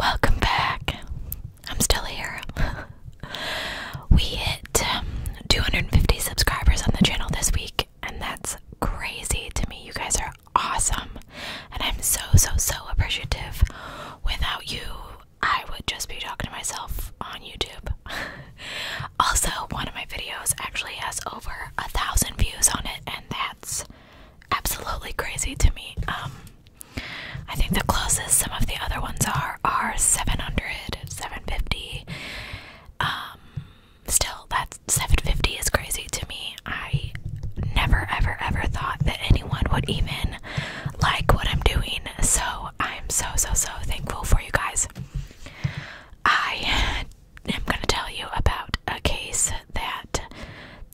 Welcome back. I'm still here. we hit um, 250 subscribers on the channel this week, and that's crazy to me. You guys are awesome, and I'm so, so, so appreciative. Without you, I would just be talking to myself on YouTube. also, one of my videos actually has over a thousand views on it, and that's absolutely crazy to me. Um, I think the closest some of the other ones are are 700, 750. Um, still, that 750 is crazy to me. I never, ever, ever thought that anyone would even like what I'm doing. So I'm so, so, so thankful for you guys. I am going to tell you about a case that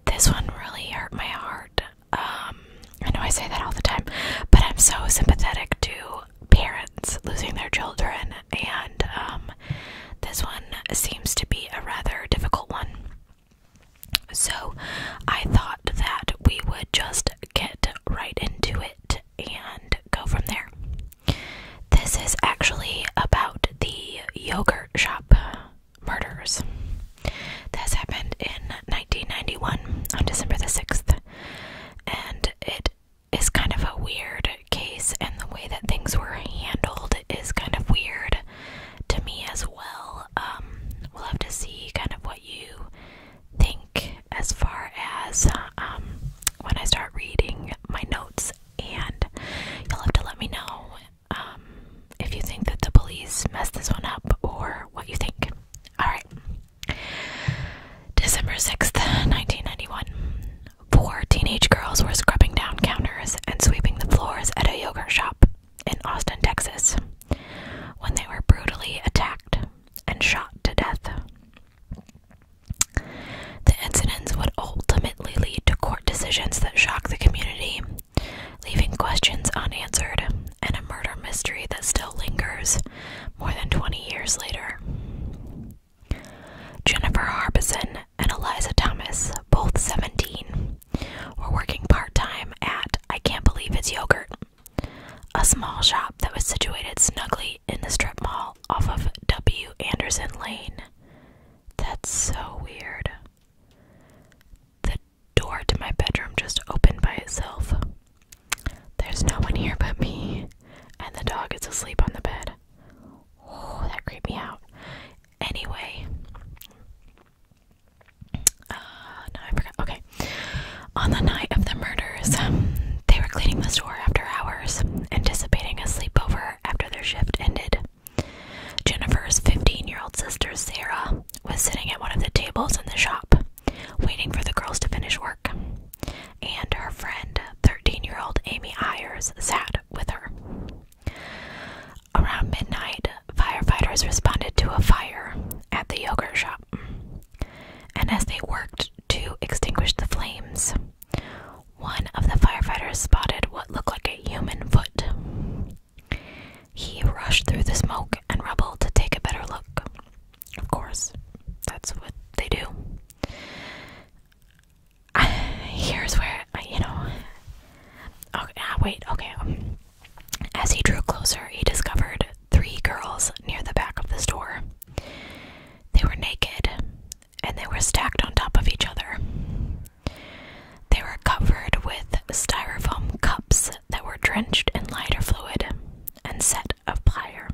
this one really hurt my heart. Um, I know I say that all the time, but I'm so sympathetic to parents losing their children, and um, this one seems to be a rather difficult one. So I thought that we would just get right into it and go from there. This is actually about the yogurt shop murders. This happened in 1991 on December the 6th, and it is kind of a weird case, and the way that things were handled is kind of weird to me as well. Um, we'll have to see kind of what you think as far as um, when I start reading my notes, and you'll have to let me know um, if you think that the police messed this one up or what you think. Alright. December 6th, 1991. Four teenage girls were scrubbing down counters and sweeping the floors at a yogurt shop in Austin, Texas, when they were brutally attacked and shot to death. The incidents would ultimately lead to court decisions that shocked the community leaving questions unanswered and a murder mystery that still lingers more than 20 years later. Jennifer Harbison and Eliza Thomas, both 17, were working part time at I Can't Believe It's Yogurt, a small shop that was situated snugly in the strip mall off of W. Anderson Lane. That's so weird. The door to my bedroom just opened by itself. There's no one here but me, and the dog is asleep on the bed. Oh, that creeped me out. Anyway, uh, I forgot. Okay, on the night of the murders, they were cleaning the store after hours, anticipating a sleepover after their shift ended. Jennifer's 15 year old sister, Sarah, was sitting at one of the tables in the shop, waiting for the girls to finish work. And her friend, 13 year old Amy Ayers, sat with her. Around midnight, firefighters responded to a fire at the yogurt shop. And as they worked to extinguish the flames, one of the firefighters spotted what looked like a human foot. He rushed through the smoke and rubble to take a better look. Of course, that's what they do. here's where, you know. Okay, ah, wait, okay. as he drew closer, he discovered three girls near the back of the store. They were naked and they were stacked on top of each other. They were covered with styrofoam cups that were drenched in lighter fluid and set afire.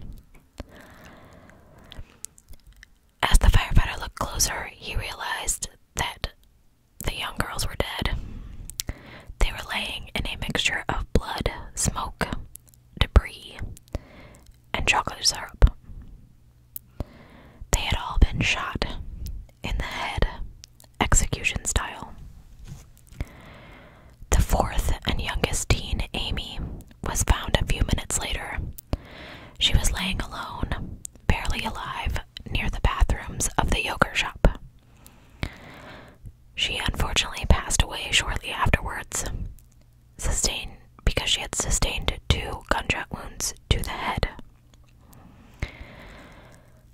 As the firefighter looked closer, he realized that the young girls were dead. They were laying in a mixture of blood, smoke, debris, and chocolate syrup. They had all been shot in the head execution style. The fourth and youngest teen, Amy, was found a few minutes later. She was laying alone, barely alive, near the bathrooms of the yogurt shop. She unfortunately passed away shortly afterwards, sustained because she had sustained two gunshot wounds to the head.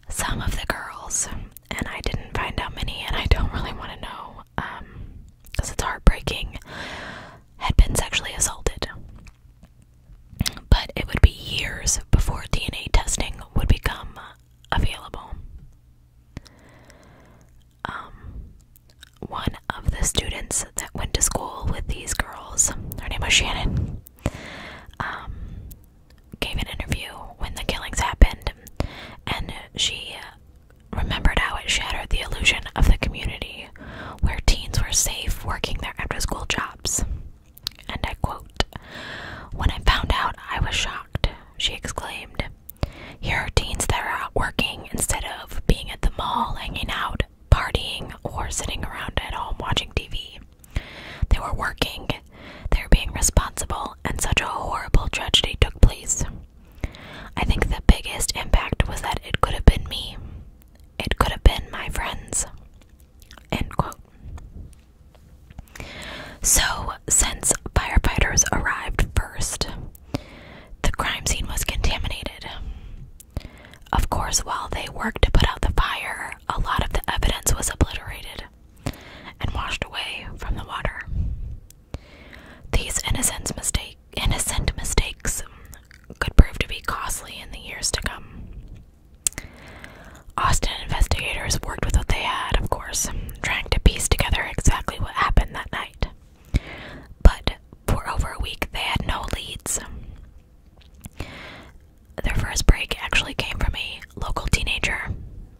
Some of the girls, and I didn't find out many, and I don't really want to know because um, it's heartbreaking, had been sexually assaulted. But it would be years before DNA testing would become available. Um, one of the students that went to school with these girls, her name was Shannon, um, gave an interview when the killings happened, and she remembered how it shattered the illusion of the community where teens were safe working their after school jobs. And I quote, When I found out, I was shocked, she exclaimed. Here are teens that are out working instead of being at the mall, hanging out, partying, or sitting around at home watching TV. They were working, they were being responsible, and such a horrible tragedy took place. I think the biggest impact was that it could have been me. It could have been my friends. So, since firefighters arrived first, the crime scene was contaminated. Of course, while they worked to put out the fire, a lot of the evidence was obliterated and washed away from the water. These innocent, mistakes could prove to be costly in the years to come. Austin investigators worked with what they had, of course, trying to piece together exactly what happened that night. But for over a week, they had no leads. Their first break actually came from a local teenager,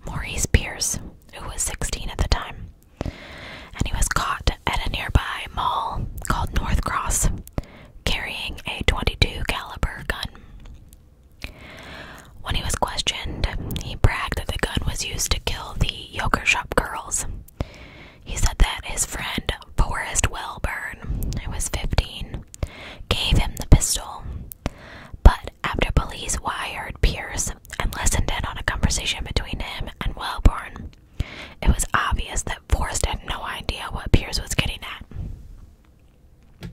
Maurice Pierce, who was 16 at the time, and he was caught at a nearby mall called North Cross carrying a 22 caliber gun. When he was questioned, he bragged that the gun was used to kill the yogurt shop girls. He said that his friend Forrest Wellburn, who was 15, gave him the pistol. But after police wired Pierce and listened in on a conversation between him and Wellborn, it was obvious that Forrest had no idea what Pierce was getting at.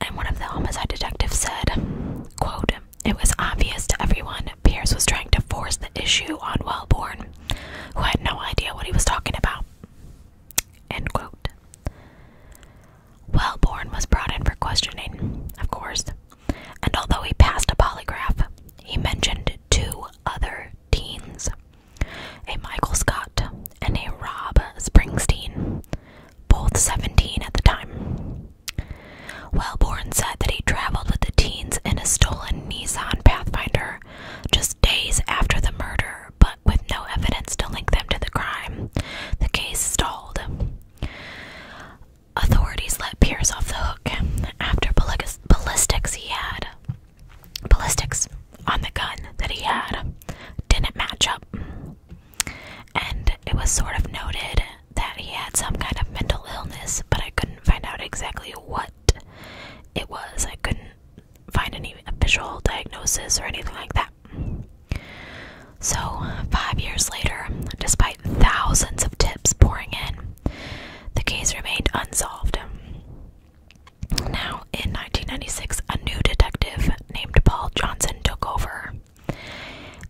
And one of the homicide detectives said, quote, It was obvious to everyone Pierce was trying to force the issue on Wellborn, who had no idea what he was talking about. Wellborn was brought in for questioning, of course, and although he passed a polygraph, he mentioned two other teens a Michael Scott and a Rob Springsteen, both 17 at the time. Wellborn said that he traveled with the teens in a stolen Nissan Pathfinder just days after the murder, but with no evidence to link them to the crime, the case stalled. Authorities let Pierce off the hook after ballistics he had. Ballistics on the gun that he had didn't match up. And it was sort of noted that he had some kind of mental illness, but I couldn't find out exactly what it was. I couldn't find any official diagnosis or anything like that. So, five years later, despite thousands of tips pouring in, the case remained unsolved. Now, in 1996, a new detective named Paul Johnson took over.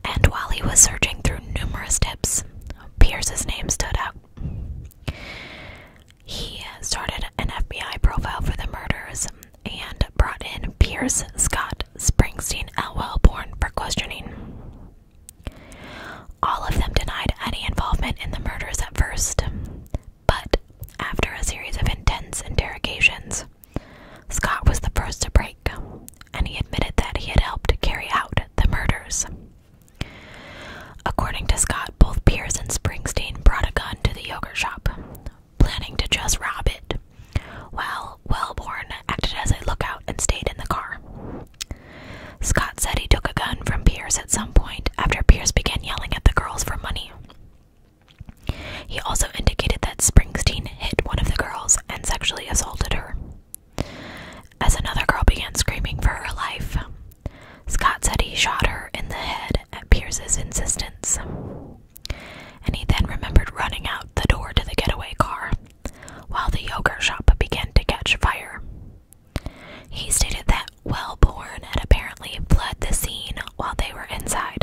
And while he was searching through numerous tips, Pierce's name stood out. He started an FBI profile for the murders and brought in Pierce Scott Springsteen Elwell Born for questioning. All of them denied any involvement in the murders at first, but after a series of intense interrogations, Scott was the first to break, and he admitted that he had helped carry out the murders. According to Scott, both Pierce and Springsteen brought a gun to the yogurt shop, planning to just rob it. Well, Wellborn acted as a lookout and stayed in the car. Scott said he took a gun from Pierce at some point after Pierce began yelling at the girls for money. He also indicated that Springsteen hit one of the girls and sexually assaulted her. As another girl began screaming for her life, Scott said he shot her in the head at Pierce's insistence. And he then remembered running out the door to the getaway car while the yogurt shop began to catch fire. He stated that Wellborn had apparently fled the scene while they were inside.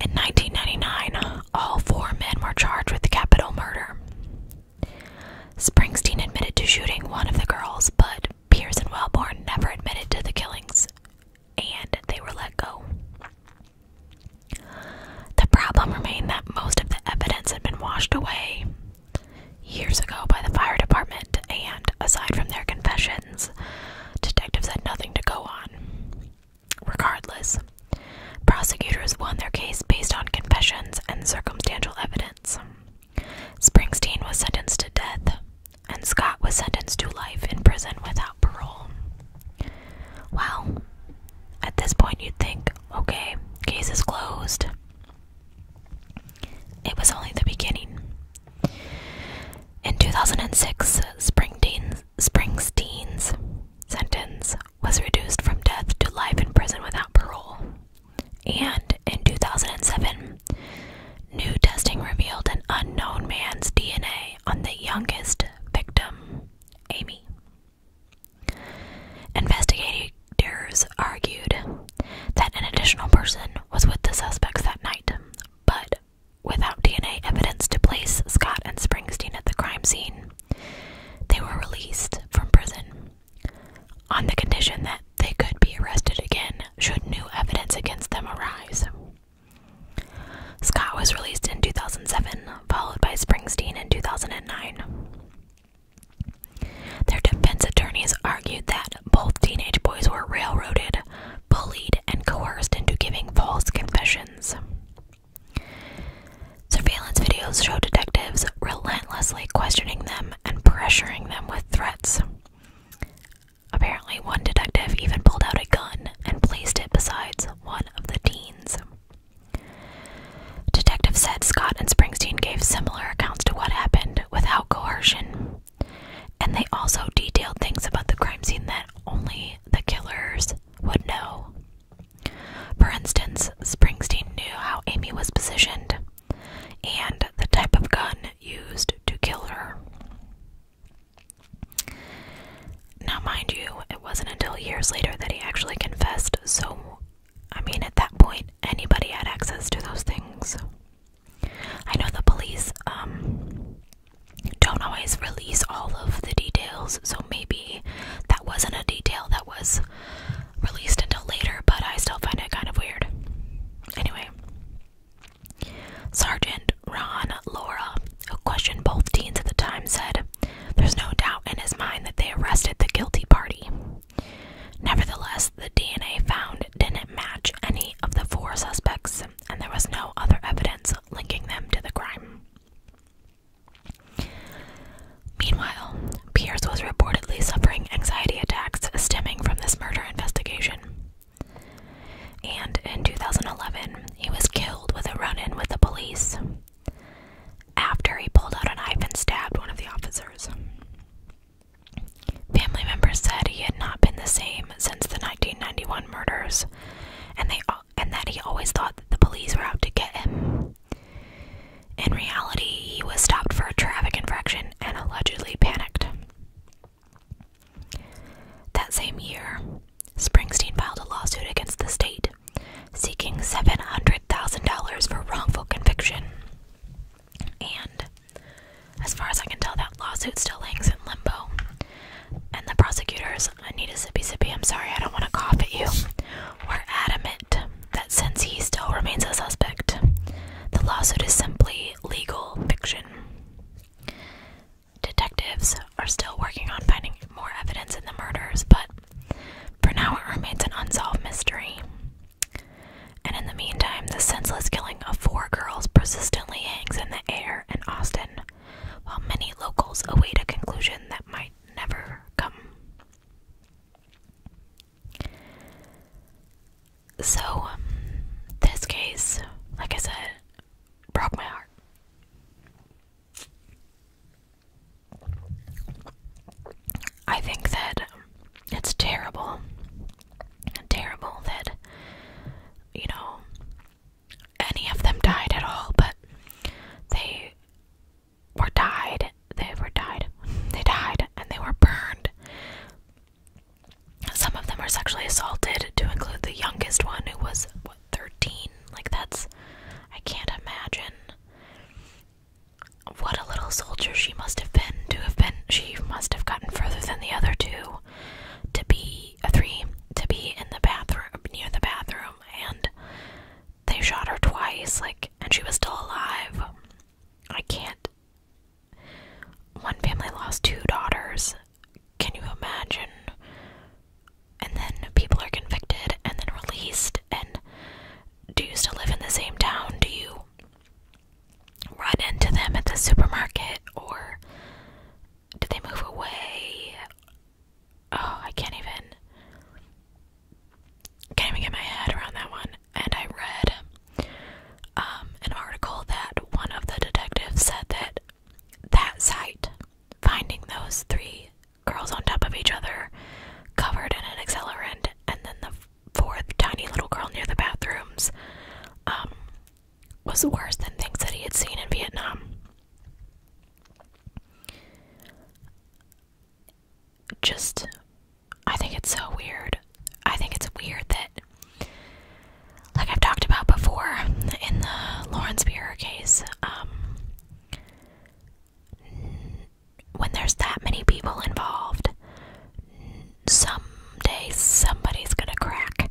In 1999, all four men were charged with capital murder. Springsteen admitted to shooting one of the girls, but Pierce and Wellborn never admitted to the killings, and they were let go. The problem remained that most of the evidence had been washed away years ago by the fire department, and aside from their confessions, detectives had nothing to go on. Regardless, prosecutors won their case based on confessions and circumstantial evidence. Springsteen was sentenced to death, and Scott was sentenced to life in prison without parole. Well, at this point, you'd think, okay, case is closed. It was only the beginning. In 2006, Springsteen's, Springsteen's sentence was reduced from death to life in prison without parole. And in 2007, new testing revealed an unknown man's DNA on the youngest victim, Amy. Investigators argued that an additional person was with the suspects that night, but without DNA evidence to place Scott and Springsteen at the crime scene, they were released from prison on the condition that they could be arrested again should new evidence against them arise. Scott was released in 2007, followed by Springsteen in 2009. Their defense attorneys argued that both teenage boys were railroaded, bullied, and coerced into giving false confessions. Surveillance videos show detectives relentlessly questioning them and pressuring them with threats. Apparently, one detective even pulled out a gun and placed it beside one of the teens. Detective said Scott and Springsteen gave similar accounts to what happened without coercion, and they also detailed things about the crime scene that only the killers would know. For instance, Springsteen knew how Amy was positioned and the type of gun used to kill her. Now, mind you, it wasn't until years later that he actually confessed, so I mean, at that point, anybody had access to those things. I know the police um, don't always release all of the details, so maybe that wasn't a detail that was released until later, but I still find it kind of weird. Anyway, Sergeant Ron Laura, who questioned both teens at the time, said there's no doubt in his mind that they arrested the guilty party. Nevertheless, the DNA found didn't match any of the four suspects, and there was no other evidence linking them to the crime. Meanwhile, Pierce was reported suffering anxiety attacks stemming from this murder investigation. And in 2011, he was killed with a run in with the police after he pulled out a knife and stabbed one of the officers. Family members said he had not been the same since the 1991 murders, and, they, and that he always thought that the police were out to get him. In reality, he was stopped for a traffic infraction and allegedly panicked. That same year, Springsteen filed a lawsuit against the state, seeking $700,000 for wrongful conviction. And as far as I can tell, that lawsuit still hangs in limbo. And the prosecutors, I need a sippy sippy, I'm sorry, I don't want to cough at you, Are adamant that since he still remains a suspect, the lawsuit is simply legal fiction. Detectives are still working on finding more evidence in the murders, but for now it remains an unsolved mystery. And in the meantime, the senseless killing of four girls persistently hangs in the air in Austin, while many locals await a conclusion that might never come. So, um, this case, like I said, broke my heart. I think that um, it's terrible, terrible that, you know, any of them died at all, but they were died, they were died, they died, and they were burned some of them were sexually assaulted, to include the youngest one who was, what, 13? Like, that's. I can't imagine. What a little soldier she must have been to have been. She must have gotten further than the other two to be. a uh, three. To be in the bathroom, near the bathroom, and they shot her twice, like, and she was still alive. I can't one family lost two daughters. Can you imagine? And then people are convicted and then released. And do you still live in the same town? Do you run into them at the supermarket or did they move away? Oh, I can't even. Can't even get my head around that one and I read um, an article that one of the detectives said that that site, finding those three girls on top of each other, covered in an accelerant, and then the fourth tiny little girl near the bathrooms, um, was worse than things that he had seen in Vietnam. Just, I think it's so weird. I think it's weird that like I've talked about before in the Lawrence Beer case, um, when there's that many people involved, someday somebody's gonna crack.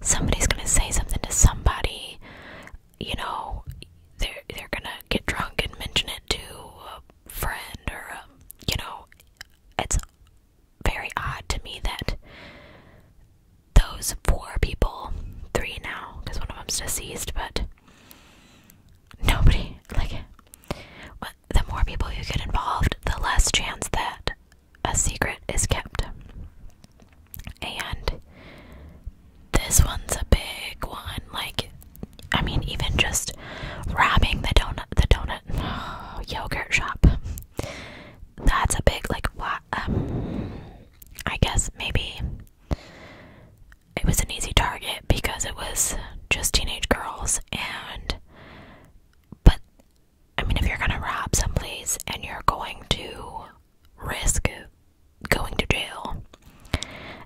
Somebody's gonna say something to somebody. You know, they're they're gonna get drunk and mention it to a friend or a, you know, it's very odd to me that those four people, three now, because one of them's deceased, but nobody, like, the more people you get involved, the less chance that a secret is kept. And this one's a big one. Like, I mean, even just robbing the donut, the donut yogurt shop that's a big like what um, I guess maybe it was an easy target because it was just teenage girls and but I mean if you're gonna rob someplace and you're going to risk going to jail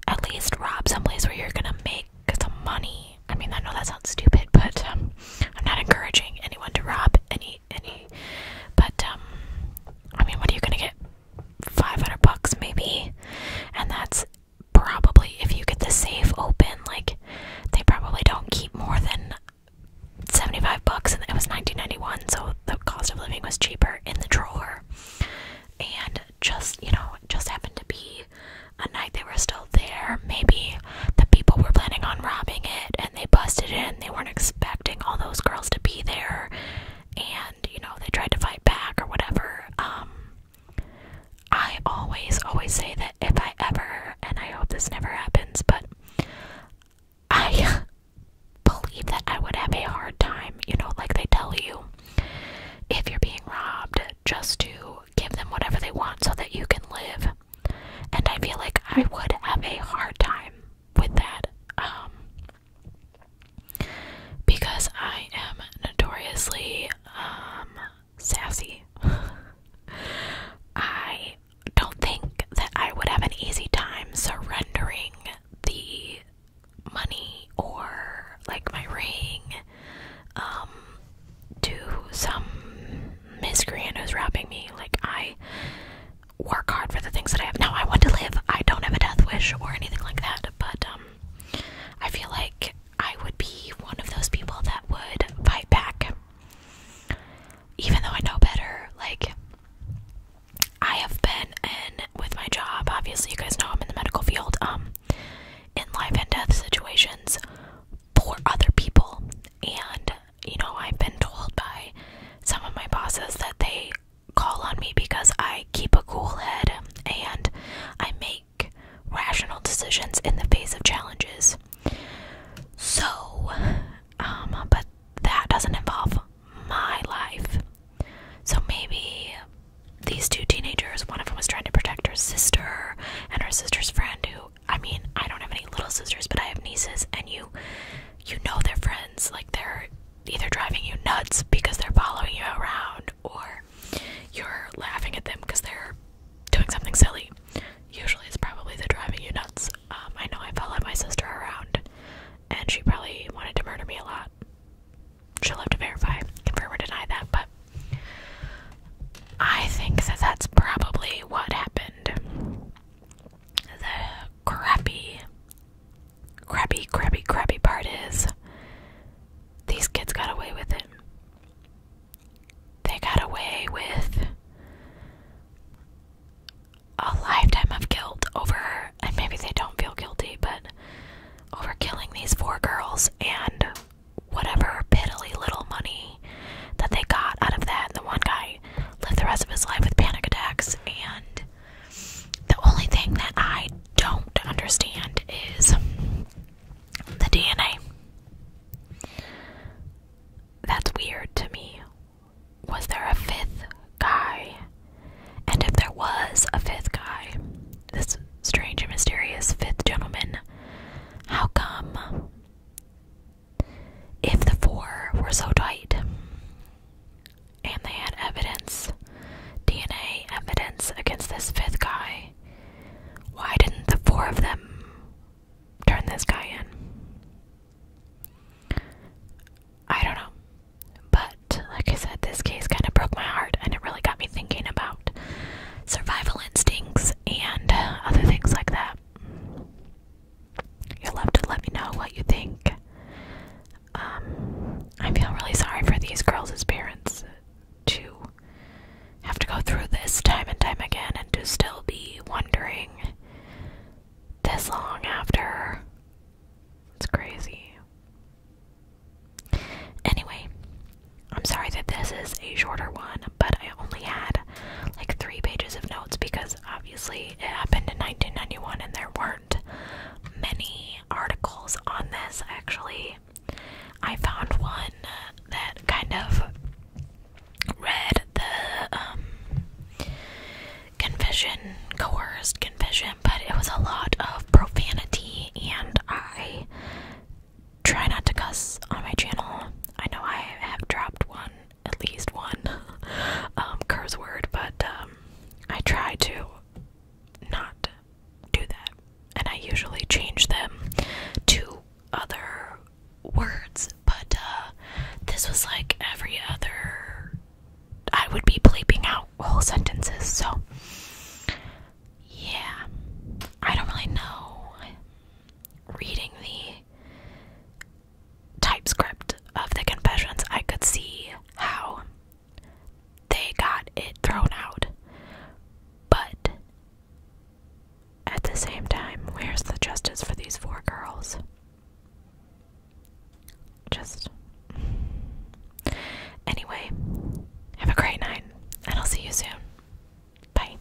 at least rob someplace where you're gonna make some money I mean, I know that sounds stupid, but um, I'm not encouraging anyone to rob any any. But um, I mean, what are you gonna get? Five hundred bucks maybe, and that's probably if you get the safe open. Like, they probably don't keep more than seventy five bucks, and it was nineteen ninety one, so the cost of living was cheaper in the drawer. And just you know, just happened to be a night they were still there. Maybe the people were planning on robbing it and they busted in. They weren't expecting all those girls to be there and, you know, they tried to fight back or whatever. Um, I always, always say that if I ever, and I hope this never happens, but I believe that I would have a hard time, you know, like they tell you, if you're being robbed, just to give them whatever they want so that you can live. And I feel like I would have a hard time with that um, because I am notoriously um, sassy. I don't think that I would have an easy time surrendering the money or like my ring um to some miscreant who's robbing me. Like, I work hard for the things that I have. Now, I want to live. I don't have a death wish or anything like that, but um, I feel like I would be one of those people that would fight back. Even though I know better, like, I have been in with my job. Obviously, you guys know I'm in the medical field, um, in life and death situations for other people, and you know, I've been told by some of my bosses that they call on me because I keep a cool head and I make rational decisions in the face of challenges. So, um, but that doesn't involve my life. So maybe these two teenagers, one of them is trying to protect her sister and her sister's friend who I mean, I don't have any little sisters, but I have nieces and you you know know—they're friends like they're either driving you nuts because they're following you around or you're laughing at them because they're doing something silly. Usually it's probably the driving you nuts. Um, I know I followed my sister around and she probably wanted to murder me a lot. She'll have to verify, confirm or deny that, but I think that that's probably what happened. The crappy, crappy, crappy, crappy part is these kids got away with it. They got away with a lifetime of guilt over, and maybe they don't feel guilty, but over killing these four girls and whatever piddly little money that they got out of that. And the one guy lived the rest of his life with panic attacks. And the only thing that I don't understand is the DNA. That's weird to me. Was there a fifth guy? And if there was a fifth guy, this strange and mysterious fifth gentleman, how come if the four were so tight and they had evidence, DNA evidence against this fifth guy, why didn't the four of them turn this guy in? I don't know. But, like I said, this case kind of broke my heart and it really got me thinking about survival instincts and other things like that. You'll love to let me know what you think. Um, I feel really sorry for these girls as parents to have to go through this time and time again and to still be wondering this long after. It's crazy. Anyway, I'm sorry that this is a shorter one, but I only had like three pages of notes because obviously it happened in 1991 and there weren't many articles on this actually. I found one that kind of read the um, confession, coerced confession, but it was a lot of profanity, and I try not to cuss on my channel. I know I have dropped one at least one um, curse word, but um, I try to not do that. And I usually change them to other words, but uh, this was like every other. I would be bleeping out whole sentences, so yeah. I don't really know. Reading the typescript of the confessions, I could see how they got it thrown out. But at the same time, where's the justice for these four girls? Just. Anyway, have a great night, and I'll see you soon. Bye.